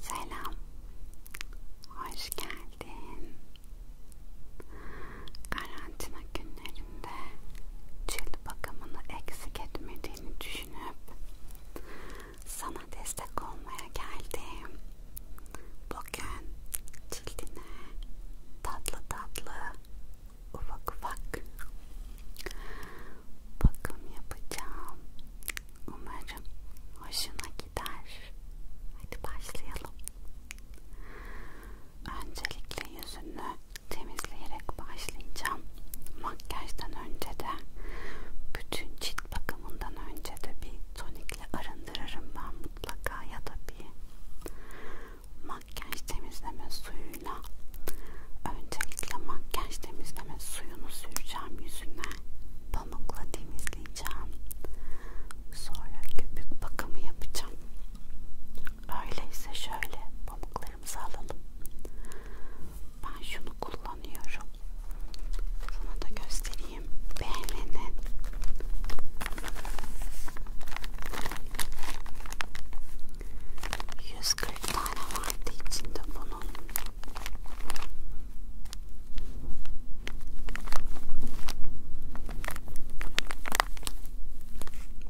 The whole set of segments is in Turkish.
Selam, hoş geldin. Karantina günlerinde cilt bakımını eksik etmediğini düşünüp sana destek olmaya geldim. Bugün cildine tatlı tatlı ufak ufak bakım yapacağım. Umarım hoşuna gider. Hadi başlayalım. Öncelikle yüzünü temizleyerek başlayacağım. Makyajdan önce de bütün cilt bakımı bakımından önce de bir tonikle arındırırım ben mutlaka ya da bir makyaj temizleme suyuyla öncelikle makyaj temizleme suyunu süreceğim yüzüne pamukla temizleyeceğim sonra köpük bakımı yapacağım öyleyse şöyle pamuklarımızı alalım ben şunu kullanıyorum sana da göstereyim beğenene yüz kırk tane vardı içinde bunun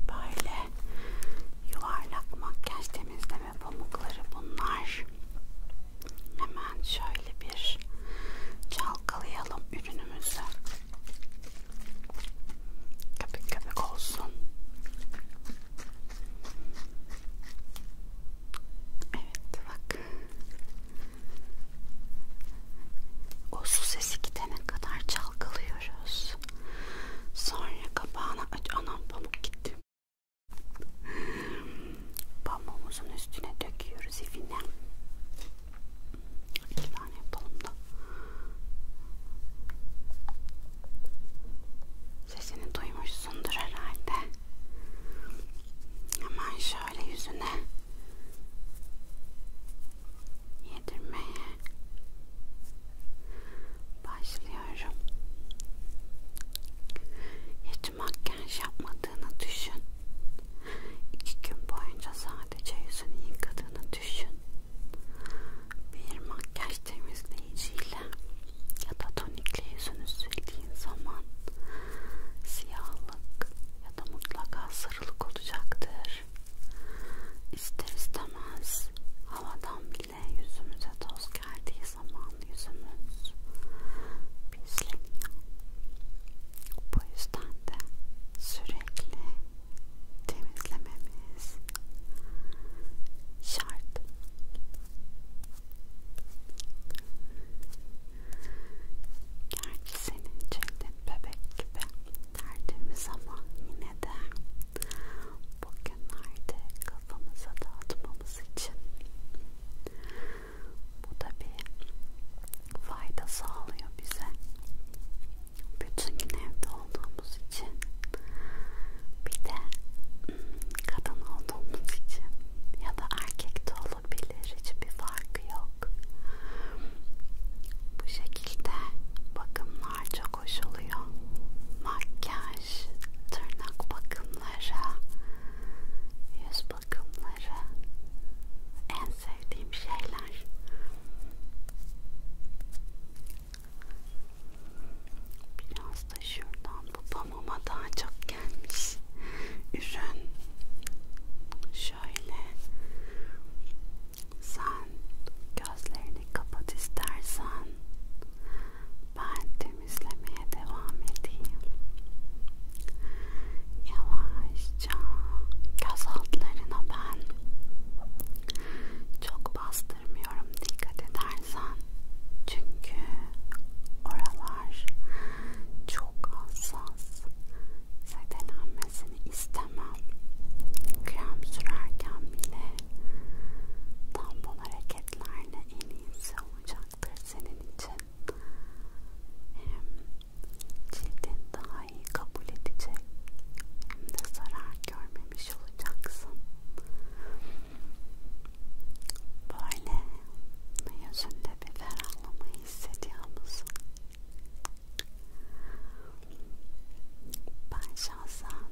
böyle yuvarlak makyaj temizleme örme pamukları bunlar. Hemen şöyle bir çalkalayalım ürünümüzü. Köpük köpük olsun. Evet bak. O su sesi gidene kadar çalkalıyoruz. Sonra kapağını aç. Anam pamuk gitti. Pamuğumuzun üstüne döküyoruz ifine. İki tane yapalım da. Sesini duymuşsundur herhalde. Hemen şöyle yüzüne yedirmeye başlıyorum. Hiç makyaj yapmadım yıkadığını düşün. İki gün boyunca sadece yüzünü yıkadığını düşün. Bir makyaj temizleyiciyle ya da tonikle yüzünü sildiğin zaman siyahlık ya da mutlaka sarılık olacaktır. İster istemez havadan bile yüzümüze toz geldiği zaman yüzümüz pisleniyor. Bu yüzden de sürekli temizlememiz şart. Gerçi senin cildin bebek gibi tertemiz ama yine de bugünlerde kafamıza dağıtmamız için bu tabi fayda sağlıyor bize. Bütün gün evde olduğumuz için bir de hmm, kadın olduğumuz için ya da erkek de olabilir hiçbir farkı yok. Bu şekilde bakımlar çok hoş oluyor. Makyaj, tırnak bakımları, yüz bakımları en sevdiğim şeyler. Biraz da şuradan bu pamama daha çok gelmiş. Ürün şöyle. Sen gözlerini kapat istersen ben temizlemeye devam edeyim. Yavaşça göz altlarına ben çok bastırmıyorum dikkat edersen çünkü oralar çok hassas zedelenmesini istemem krem sürerken bile tampon hareketlerle en iyisi olacaktır senin için cildin daha iyi kabul edecek hem de zarar görmemiş olacaksın böyle yüzünde bir ferahlama hissediyor musun? ben şahsen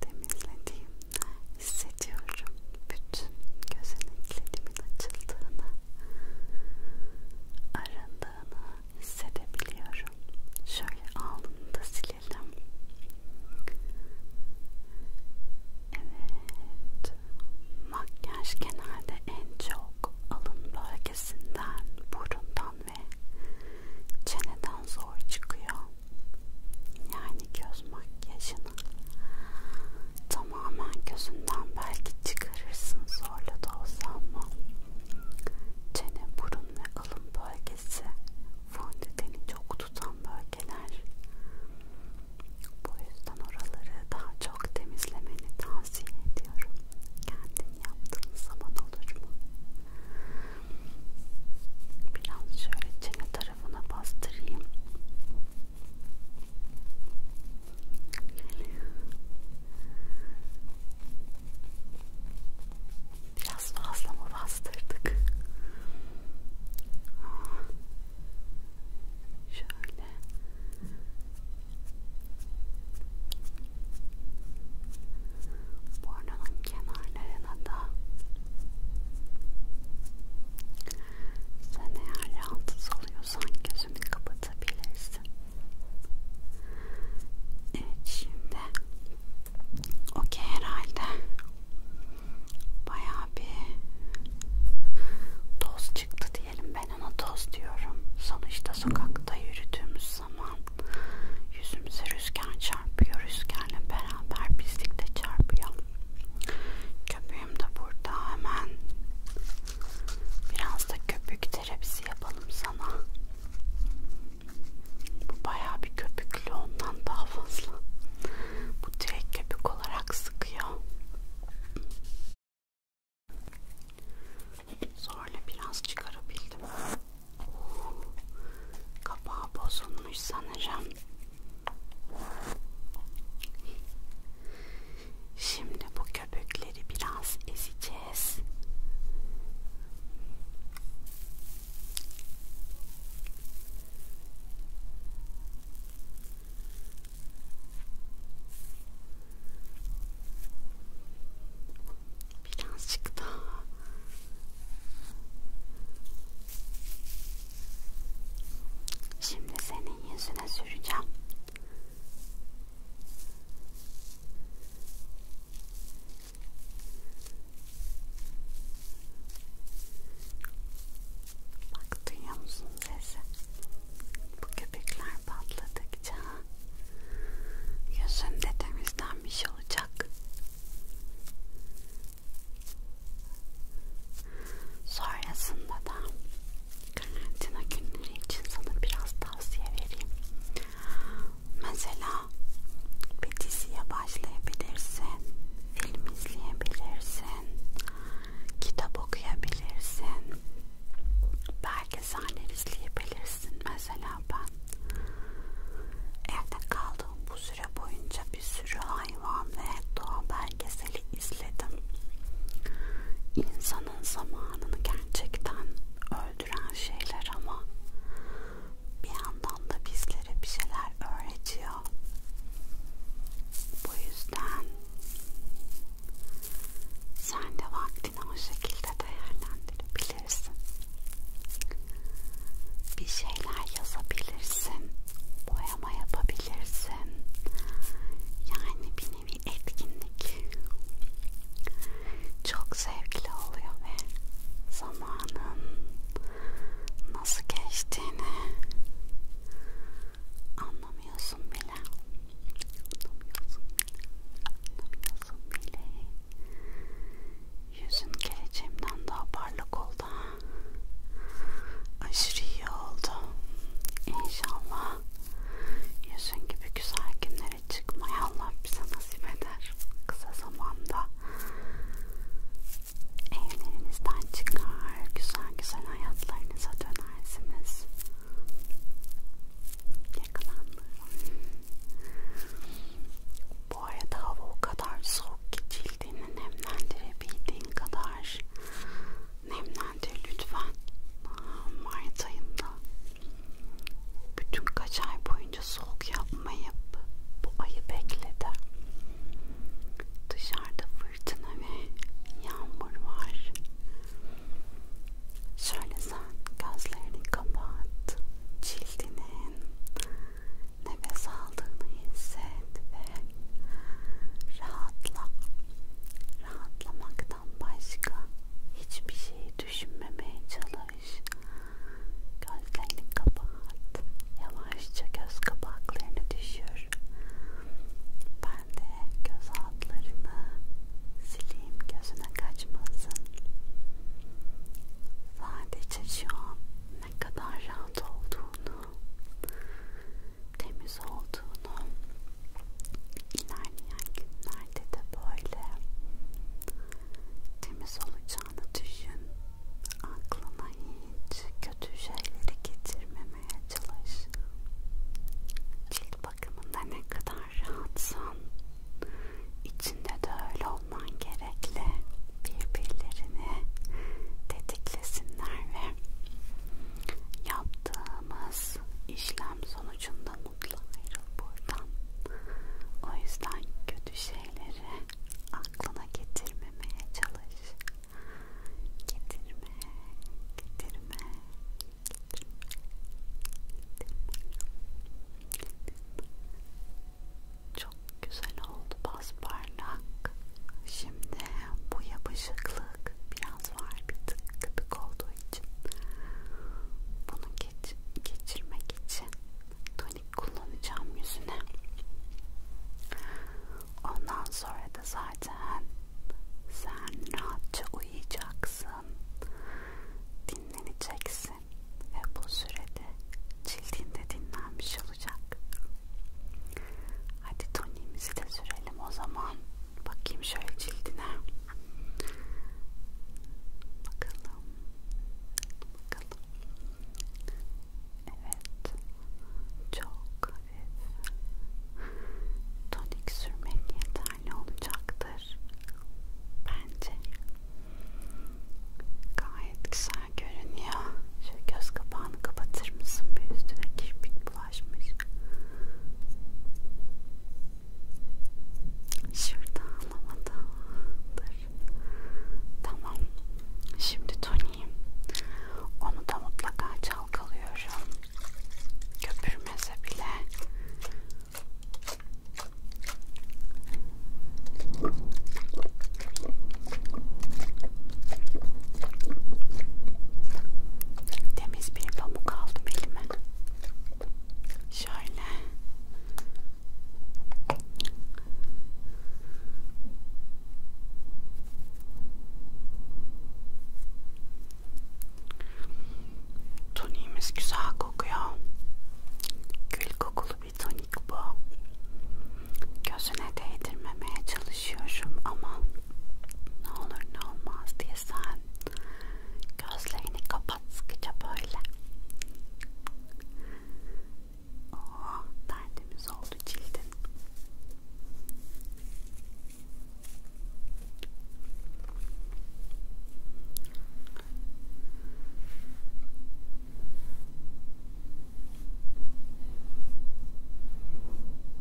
temizlediğimde hissediyorum bütün gözeneklerimin açıldığını arındığını hissedebiliyorum şöyle alnını da silelim evet makyaj genelde en çok alın bölgesinden burundan ve çeneden zor çıkıyor yani göz makyajını tamamen gözünden belki çıkarırsın zorla da olsa ama çene, burun ve alın bölgesi fondöteni çok tutan bölgeler bu yüzden oraları daha çok temizlemeni tavsiye ediyorum kendin yaptığın zaman olur mu? biraz şöyle çene tarafına bastırayım Biraz fazla mı bastırdık? Şöyle. Burnunun kenarlarına da sen eğer rahatsız oluyorsan gözünü kapatabilirsin. Evet şimdi okey herhalde bayağı bir toz çıktı diyelim ben ona toz diyorum. Sonuçta sokakta yürüdüğümüz zaman yüzümüze rüzgar çarpıyor. Rüzgarla beraber pislik de çarpıyor. Köpüğüm de burada hemen. Biraz da köpük terapisi yapalım sana. Bu bayağı bir köpüklü ondan daha fazla. Bu direkt köpük olarak sıkıyor. Zorla biraz çıkarabildim. Kapağı bozulmuş sanırım. Şimdi bu köpükleri biraz ezeceğiz. Birazcık daha Şimdi senin yüzüne süreceğim. Bak duyuyor musun sesi? Bu köpekler patladıkça yüzünde temizlenmiş olacak. Sonrasında da karantina günleri için sana biraz tavsiye vereyim. Mesela bir diziye başlayabilirsin, film izleyebilirsin, kitap okuyabilirsin, belgeseller izleyebilirsin. Mesela ben evde kaldığım bu süre boyunca bir sürü hayvan ve doğa belgeseli izledim. İnsanın zamanını gerçekten öldüren şeyler ama bir yandan da bizlere bir şeyler öğretiyor. Bu yüzden sen de vaktini o şekilde değerlendirebilirsin. Bir şeyler yazabilirsin boyama yapabilirsin. Yani bir nevi etkinlik. Çok zevkli oluyor ve zamanın nasıl geçtiğini anlamıyorsun bile. Anlamıyorsun bile. Anlamıyorsun bile. Yüzün geleceğimden daha parlak oldu aşırı iyi oldu. İnşallah yüzün gibi güzel günlere çıkmaya Allah bize nasip eder. Kısa zamanda evlerinizden çıkar, güzel güzel hayatlarınıza dönersiniz. Yakalandım. Bu arada hava o kadar soğuk ki cildini nemlendirebildiğin kadar nemlendir lütfen. Mart ayında bütün kaç ay boyunca soğuk yapmayıp bu ayı bekledi. Dışarıda fırtına ve yağmur var. Şöyle sen gözlerini kapat, cildinin nefes aldığını hisset ve Rahatla. Rahatlamaktan başka hiçbir şey düşünmemeye çalış. Gözlerini kapat. Yavaşça göz kapaklarını düşür. Ben de göz altlarını sileyim gözüne kaçmasın. Sadece şu an ne kadar rahat olduğunu temiz olduğunu ilerleyen günlerde de böyle temiz olacağını düşün. Aklına hiç kötü şeyleri getirmemeye çalış. Cilt bakımında ne kadar rahatsan içinde de öyle olman gerekli. Birbirlerini tetiklesinler ve yaptığımız işlem sonucunda mutlu ayrıl buradan. O yüzden kötü şeyleri aklına getirmemeye çalış. Getirme, getirme, getirme, getirme. Çok güzel oldu, bas parlak. Şimdi bu yapışıklık biraz var bir tık kıpık olduğu için bunu geç, geçirmek için tonik kullanacağım yüzüne ondan sonra da zaten sen rahatça uyuyacaksın dinleneceksin ve bu sürede cildinde dinlenmiş olacak Hadi tonimizi de sürelim o zaman. Bakayım şöyle cildine. Bakalım. Bakalım. Evet. Çok hafif. Tonik sürmek yeterli olacaktır. Bence. Gayet güzel görünüyor. Şu göz kapağını kapatır mısın? Bir üstüne kirpik ulaşmış. Şurada alamadılar. Tamam. Şimdi Tony'yim. Onu da mutlaka çalkalıyorum. Köpürmese bile. Temiz bir pamuk aldım elime. Şöyle. Toniğimiz güzel kokuyor. Gül kokulu bir tonik bu. Gözüne değdirmemeye çalış çalışıyorum ama ne olur ne olmaz diye sen gözlerini kapat sıkıca böyle. Oh, derdimiz oldu cildin. Tamam.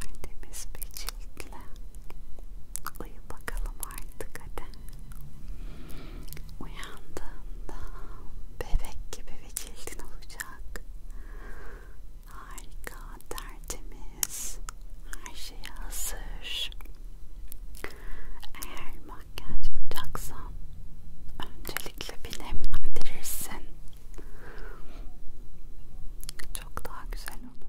Tertemiz bir ciltle uyu bakalım artık hadi. Uyandığında bebek gibi bir cildin olacak. Harika, tertemiz, her şeye hazır. Eğer makyaj yapacaksan öncelikle bir nemlendirirsin. Çok daha güzel olur.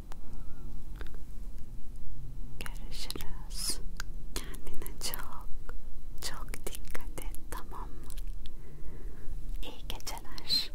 Görüşürüz. Kendine çok çok dikkat et tamam mı? İyi geceler.